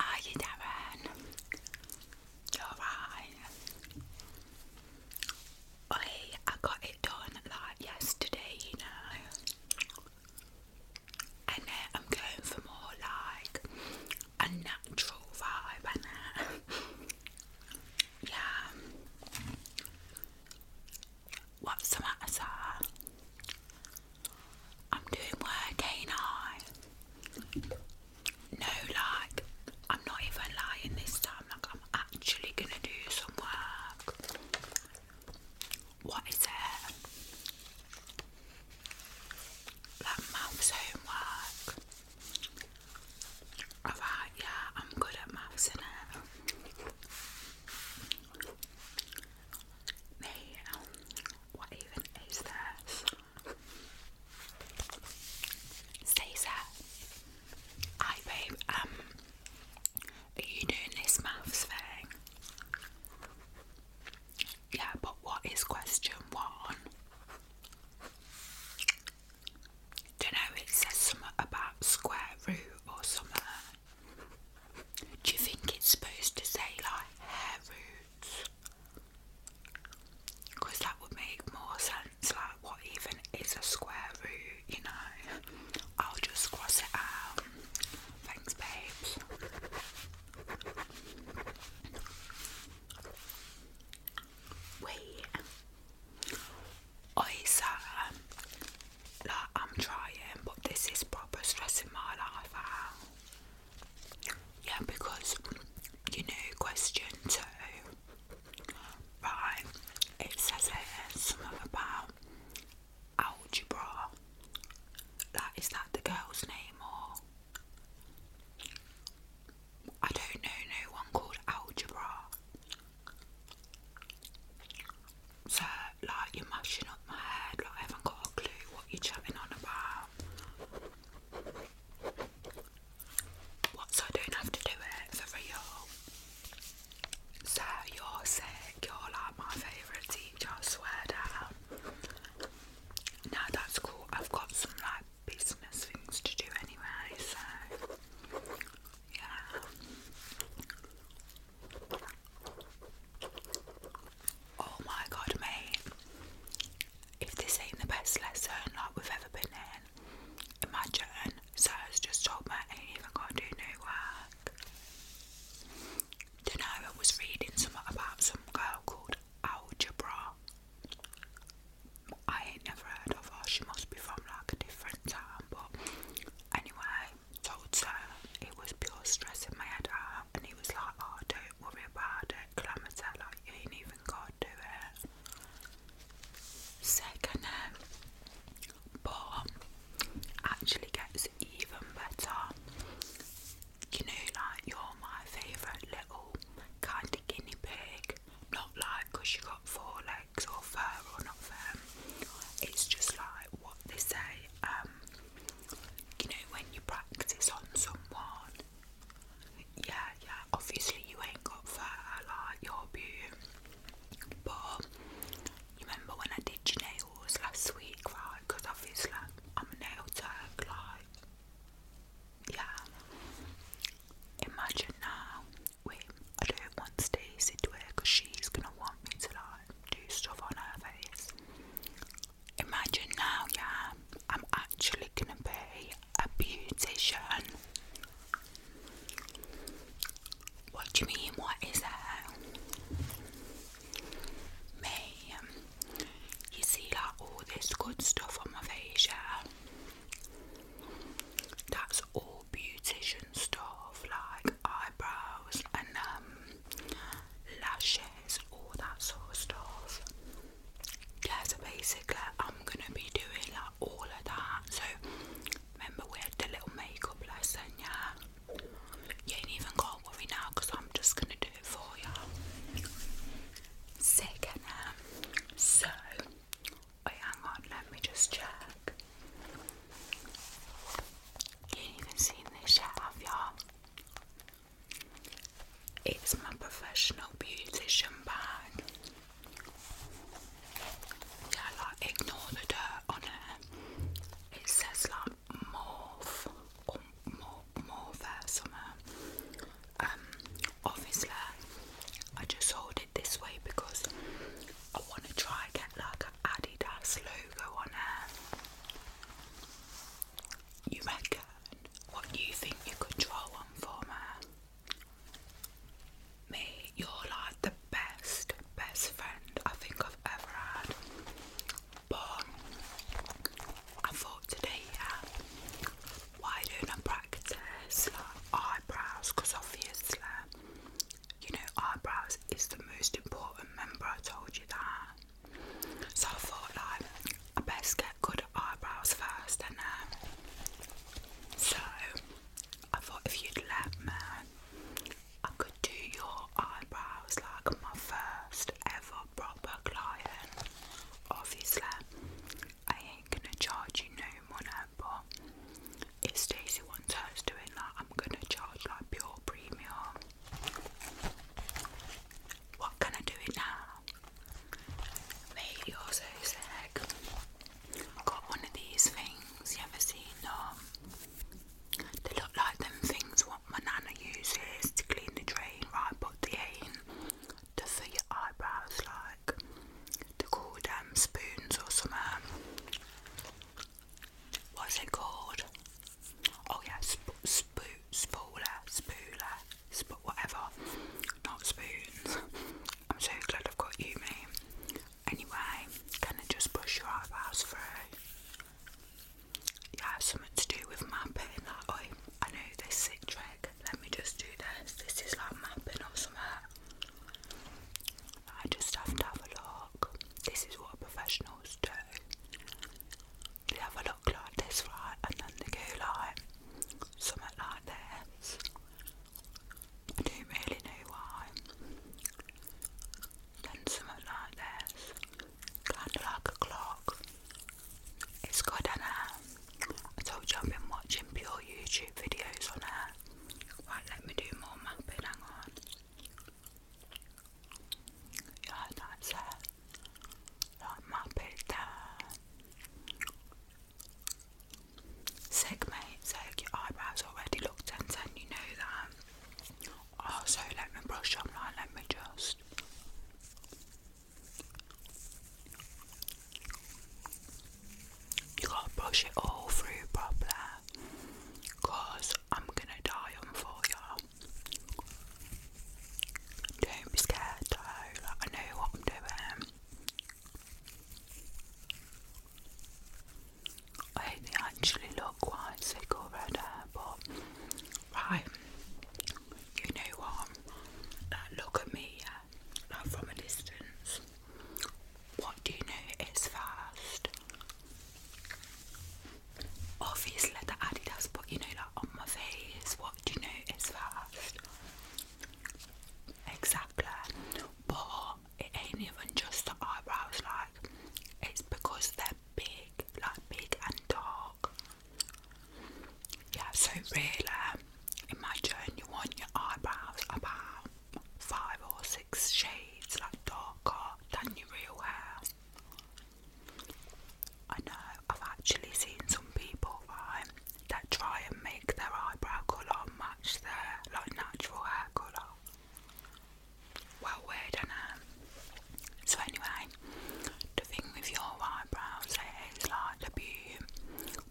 Are you doing? You're right. Oi, I got it done like yesterday, you know. And uh, I'm going for more like a natural vibe, and yeah. What's the matter, I'm doing work, ain't I? No, like, I'm not even lying this time. Like, I'm actually gonna do some work. What is it? Like, maths homework. Alright, yeah, I'm good at maths, innit? me. Um, what even is this? Stacey, hi babe. Um, are you doing this maths thing? Yeah, but what is question one? Don't know. It says something about square root or something. Do you think it's supposed to say like hair roots? Because that would make more sense. Like, what even is a square root? You know, I'll just cross it out. Thanks, babes. Wait. Oysa like I'm trying, but this is proper stress in my life Yeah, because you know, question two, right? It says here something about algebra. Like, is that the girl's name or? I don't know no one called algebra. So, like, you're mashing up my head, like, I haven't got a clue what you're chatting on about. What, I don't have to do it for real? So, you're sick, you're like my favourite teacher, swear down. Now that's cool, I've got some, like, business things to do anyway, so. Yeah. Oh my god, mate. If this ain't the best lesson like we've ever been in, imagine Sarah's just told I ain't even got to do no work. Dunno, I was reading something about some girl called Algebra. I ain't never heard of her, she must be from like a different town, but anyway, told her it was pure stress in my head uh, and he was like, Oh, don't worry about it, Calamity, like, you ain't even gotta it. Second, um, but actually gets even better. You know, like, you're my favourite little kind of guinea pig, not like because you got four legs or fur or not fur. It's just like what they say, um, you know, when you practice on someone. Yeah, yeah, obviously you ain't got fur like your beauty. But you remember when I did your nails last week, right? Because obviously I'm a nail tech, like, yeah. Imagine now Wait, I don't want Stacey to wear because she's gonna want me to like do stuff on her face. Imagine now, yeah, I'm actually gonna be a beautician. What do you mean? What is that? Me, you see, like all this good stuff on my face, yeah that's all beautician stuff like eyebrows and um, lashes, all that sort of stuff. so basically, I'm gonna be doing like all of that. So, remember, we had the little makeup lesson, yeah? You ain't even gotta worry now because I'm just gonna do it for you. Second, and so. Wait, hang on, let me just check. You even seen this yet, y'all? It's my professional beautician bag. Yeah, like ignore the dirt on it. It says like morph or more somewhere. Um obviously I just hold it this way because I want to try and get like an Adidas logo on it. You reckon? What you think you could draw one for me? Me, you're like the best, best friend I think I've ever had. But I thought today, yeah, why don't I practice like eyebrows? Because obviously you know, eyebrows is the most important. member. I told you that. So I thought, like, I best get good eyebrows first, and then. Um, so I thought if you'd let me, I could do your eyebrows like my first ever proper client. Obviously, I ain't gonna charge you no money but if Stacey wants hers doing that, I'm gonna charge like pure premium. What can I do it now? Mate, you're so sick. Got one of these things, you ever seen them? Um, they look like them things what my nana uses to clean the drain, right? But they ain't. They're your eyebrows, like like they're spoons or some um, what's it called? Oh yeah, sp spo spooler, spooler, whatever. Not spoons. I'm so glad I've got you, mate. Anyway, can I just brush your eyebrows through? Yeah, something to do with mapping. I know this sick trick. Let me just do this. This is like mapping or something. I just have to have a look. This is what professionals do. They have a look like this, right? And then they go like something like this. I don't really know why. Then something like this. Kind of like a clock. It's good, is I told you I've been watching pure YouTube videos on her. Right, let me do more mapping, hang on. Yeah, that's her. Like map down. Sick mate, sick, your eyebrows already look 10 10, you know that. Oh, let me brush them, like, let me just. You gotta brush it all through properly, cause I'm gonna dye them for you. Don't be scared though, I know what I'm doing. I actually look quite sick already, but right, you know what? Like, look at me, yeah? from a distance. What do you know is first? Obviously, the Adidas, but you know, like on my face, what do you know is first? Exactly. But it ain't even just the eyebrows, like, it's because they're big, like big and dark. Yeah, so really, Imagine you want your eyebrows about five or six shades like darker than your real hair. I know I've actually seen some people, that try and make their eyebrow colour match their like natural hair colour. Well, weird, I So anyway, the thing with your eyebrows is like the beauty,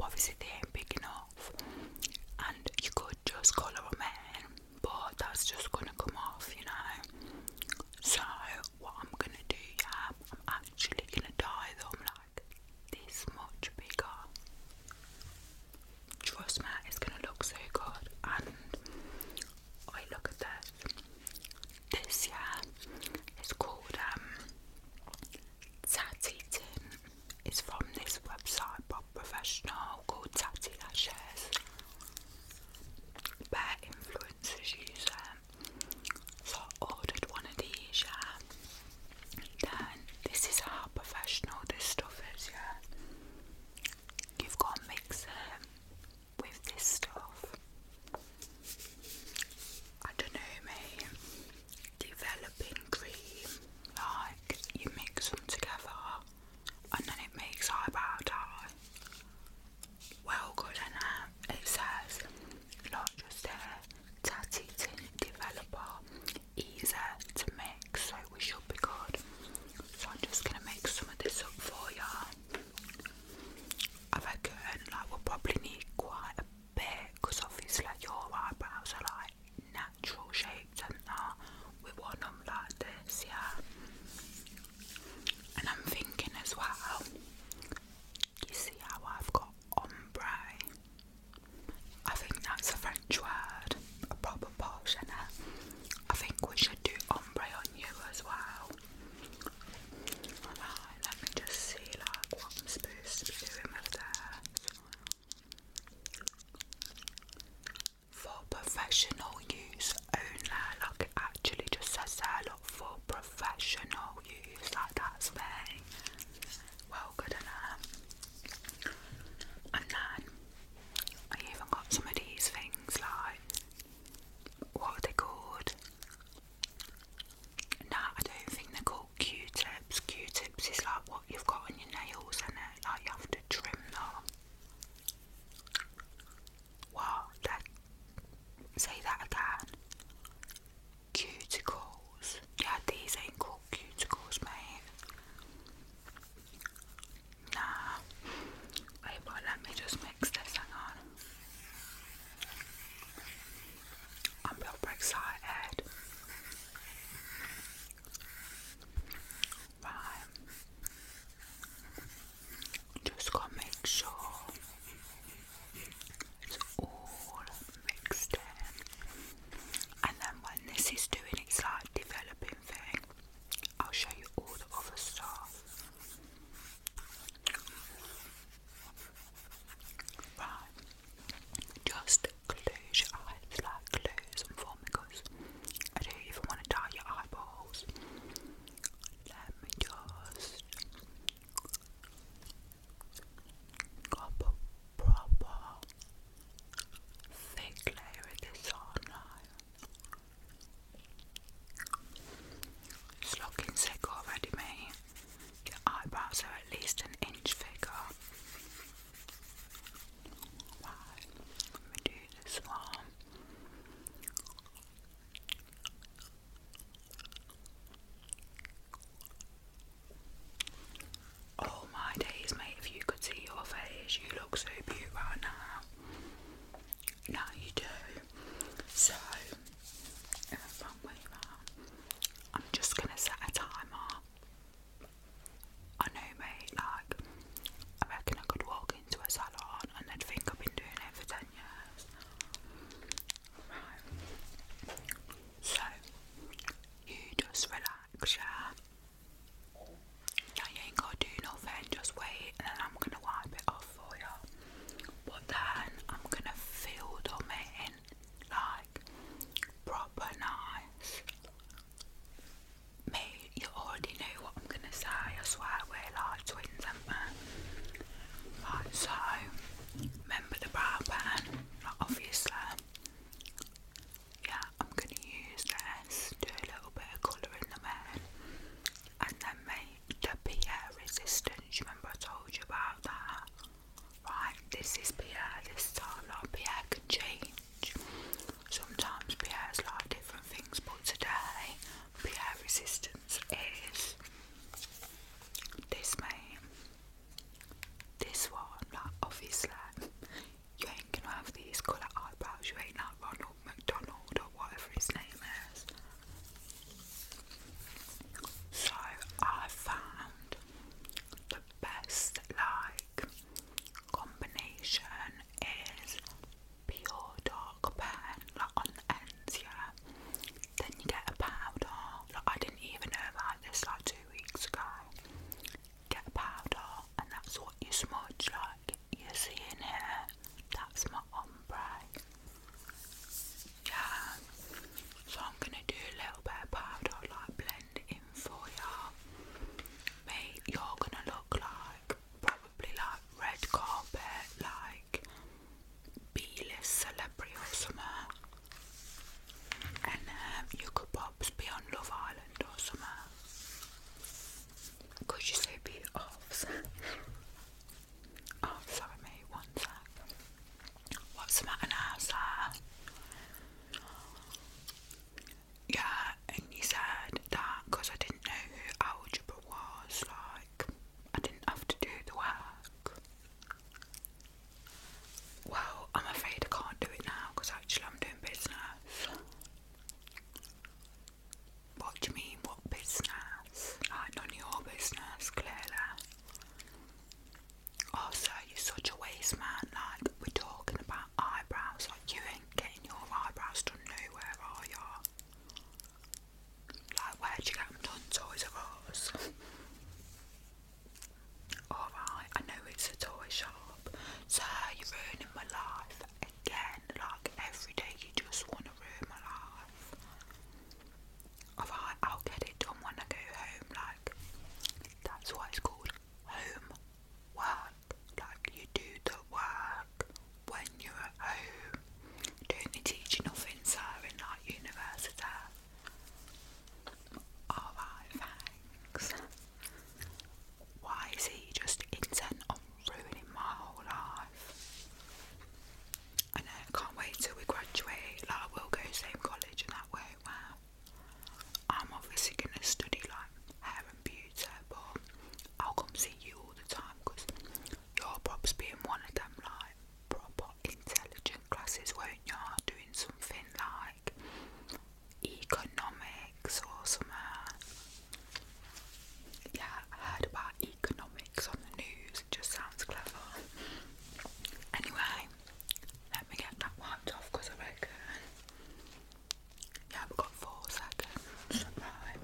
obviously they ain't big enough and you could just colour a man, but that's just gonna come off you know so what I'm gonna do I'm actually gonna dye them like this much bigger trust me it's gonna look so good and I look at this this yeah it's called um Tatty Tin is from this website by professional called Tatty Lashes. Where influencers use So ordered one of these, Then this is how professional this stuff is, yeah. You've got to mix it with this stuff. I don't know, mate, developing cream. Like, you mix them together and then it makes eyebrow dye. Well good, enough. it says, not just there tatty tint developer, easier to mix, so we should be good. So I'm just going to make some of this up for you. I reckon like, we'll probably need quite because obviously like, your eyebrows are like natural shapes, and that we want them like this yeah and I'm thinking as well you see how I've got ombre I think that's a French word a proper posh eh? and I think we should do ombre on you as well Right, let me just see like what i spew him of their For professional use only, like it actually just says there, look, for professional use, like that's me. Well good enough. And then I even got some of these things like what are they called? Nah, I don't think they're called Q-tips. Q-tips is like what you've got on your nails, and like you have to trim them. Wow, Say that again. Cuticles. Yeah, these ain't called cuticles, mate. Nah. Wait, but let me just mix this on Bill Brexit ad. Right. Just gotta make sure it's all mixed in. And then when this is doing its like developing thing, I'll show you all the other stuff. Right. Just close your eyes, like close them for me I don't even want to tie your eyeballs. Let me just grab a proper thick layer of this on now. It's looking sick already, mate your eyebrows are at least an inch thicker. let me do this one. Oh my days, mate, if you could see your face, you look so beautiful now. Now you do. So, I'm just gonna set a timer. I know mate, like I I could walk into a salon and they'd think I've been doing it for ten years. Right. So you just relax, yeah. Now you ain't gotta do nothing, just wait and then I'm gonna wipe it off for you. But then I'm gonna fill them in like proper nice. Me, you already know what I'm gonna say. I swear we're like twins, haven't we? Right, so remember the brow pen, obviously. Yeah, I'm gonna use this, do a little bit of colour in the man, and then maybe the PR resistance. Remember I told you about that? Right, this is PR this time. Like PR can change. Sometimes PR is like different things, but today PR resistance is this mate. This one, like obviously you ain't gonna have these colour eyebrows, you ain't like Ronald McDonald or whatever his name is. So I found the best like combination is pure dark pen like on the ends, yeah. Then you get a powder. Like I didn't even know about this like two weeks ago. Get a powder and that's what you smudge like you see in here. That's my ombre. Yeah. So I'm gonna do a little bit of powder like blend in for ya. Mate, you're gonna look like probably like red carpet, like B-list celebrity or something. And um, you could perhaps be on Love Island or something. Could you say be off? Oh, sorry, mate, one sec. What's the matter now, Sarah? Yeah, and you said that because I didn't know algebra was, like, I didn't have to do the work. Well, I'm afraid I can't do it now because actually I'm doing business. What do you mean, what business? Like, none of your business, clearly. Also, you're such a waste man, like, we're talking about eyebrows, like, you ain't getting your eyebrows done Where are you? Like, where'd you get them done, Toys are Us? Alright, I know it's a toy shop. So, you're ruining my life again. Like, every day you just want to ruin my life i will get it done when I go home, like, that's what it's called, home work, like you do the work when you're at home, don't teaching off in like university. Alright, thanks. Why is he just intent on ruining my whole life. I know, can't wait till we graduate. Like, I will go same college and that work I'm obviously going to study like hair and beauty, but I'll come see you all the time because your are props being one of them like proper intelligent classes, won't you? Doing something like economics or something yeah, I heard about economics on the news, it just sounds clever. Anyway, let me get that wiped off because I reckon. Yeah, we've got four seconds. Right.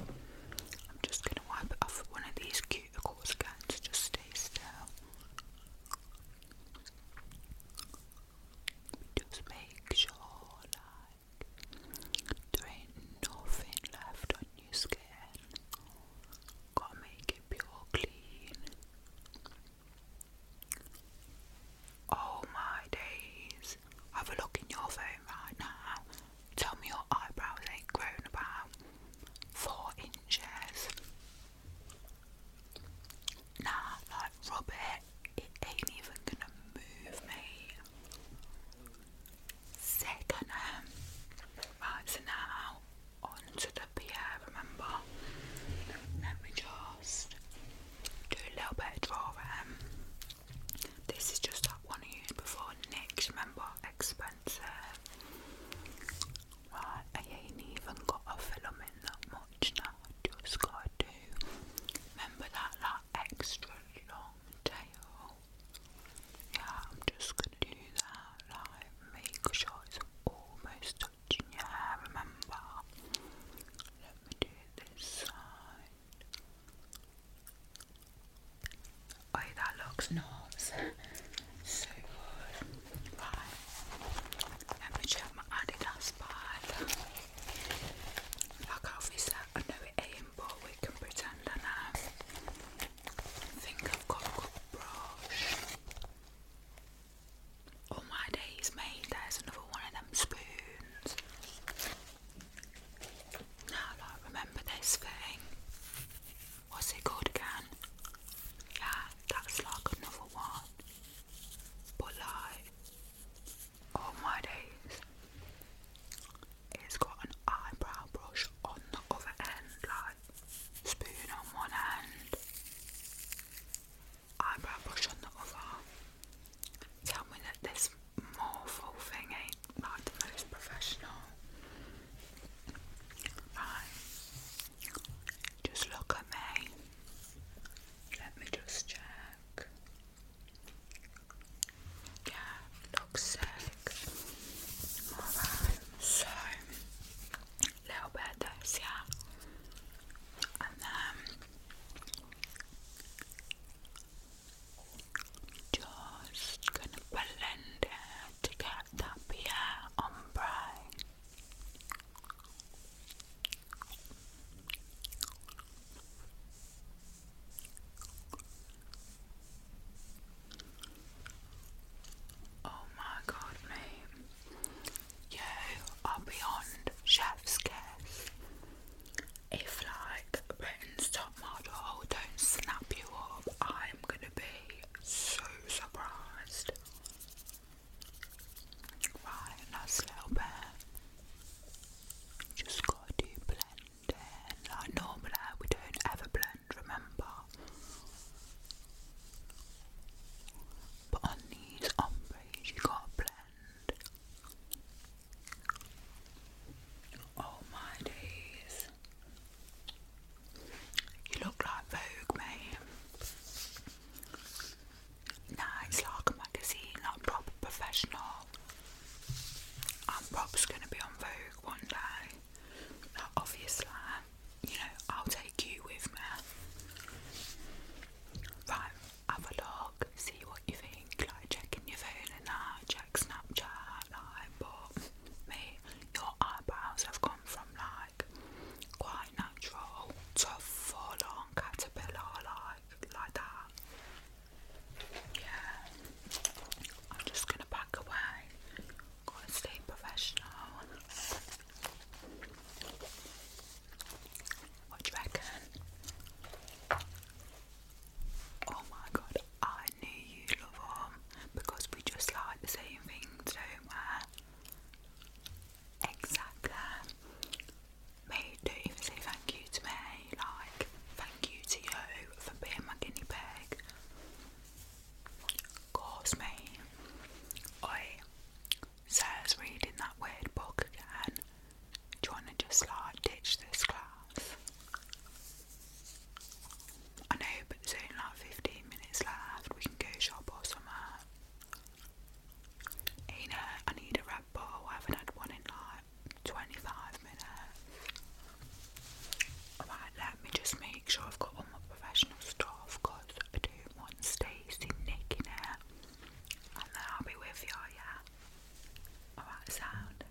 I'm just gonna wipe it off with one of these cuticles again just stay still. Just make sure there ain't nothing left on your skin. Gotta make pure clean. Oh my days. Have a look in your phone right now. Tell me your eyebrows ain't grown about four inches. Nah, like rub it. It ain't even gonna move me second um, right so now onto the pier remember let me just do a little bit of drawing um, this is just that one I used before next remember expensive right I ain't even got a filament that much now just gotta do remember that that extra long tail yeah, I'm just gonna do that. Like, make sure it's almost touching your hair, remember? Let me do this side. Oh, that looks nice. so good. Right. Let me check my Adidas bag. Like, obviously, I know it pimple, we can pretend and I um, think I've got a good brush. Oh my days, mate, there's another one of them spoons. Now I remember this thing. What's it called again? Yeah, that's like another one. But like all oh, my days. It's got an eyebrow brush on the other end, like spoon on one end, eyebrow brush on the other. Tell me that this morpho thing ain't like the most professional. Right, just look at me. Let me just check sick. Yeah, looks sick. Alright, so little bit of yeah. And then just gonna blend it to get that Pierre ombre. Oh my god, mate. You are beyond chef's kiss. If, like, Britain's top model don't snap you up, I'm gonna be so surprised. Right, nice little bit. Just gotta do Like normally, we don't ever blend, remember? But on these ombres, you gotta blend. Oh my days. You look like Vogue, mate it's like a magazine, not proper professional. And Rob's gonna be on Vogue one day. obviously, you know, I'll take you with me. Right, have a look, see what you think, like checking your phone and that, check Snapchat, like but me, your eyebrows have gone from like quite natural to full on caterpillar like like that. Yeah. I'm just gonna back away. Gotta stay professional. What do you reckon? Oh my god, I knew you love them because we just like the same things, don't we? Exactly me don't even say thank you to me, like, thank you to you for being my guinea pig. Cause me, I says reading that weird book again, trying to just like ditch this class. I know, but there's only like 15 minutes left, we can go shop or somewhere. You I need a Red ball. I haven't had one in like 25 minutes. Alright, let me just make sure I've got all my professional stuff because I do want Stacey nicking it. And then I'll be with you, yeah? Alright, sound.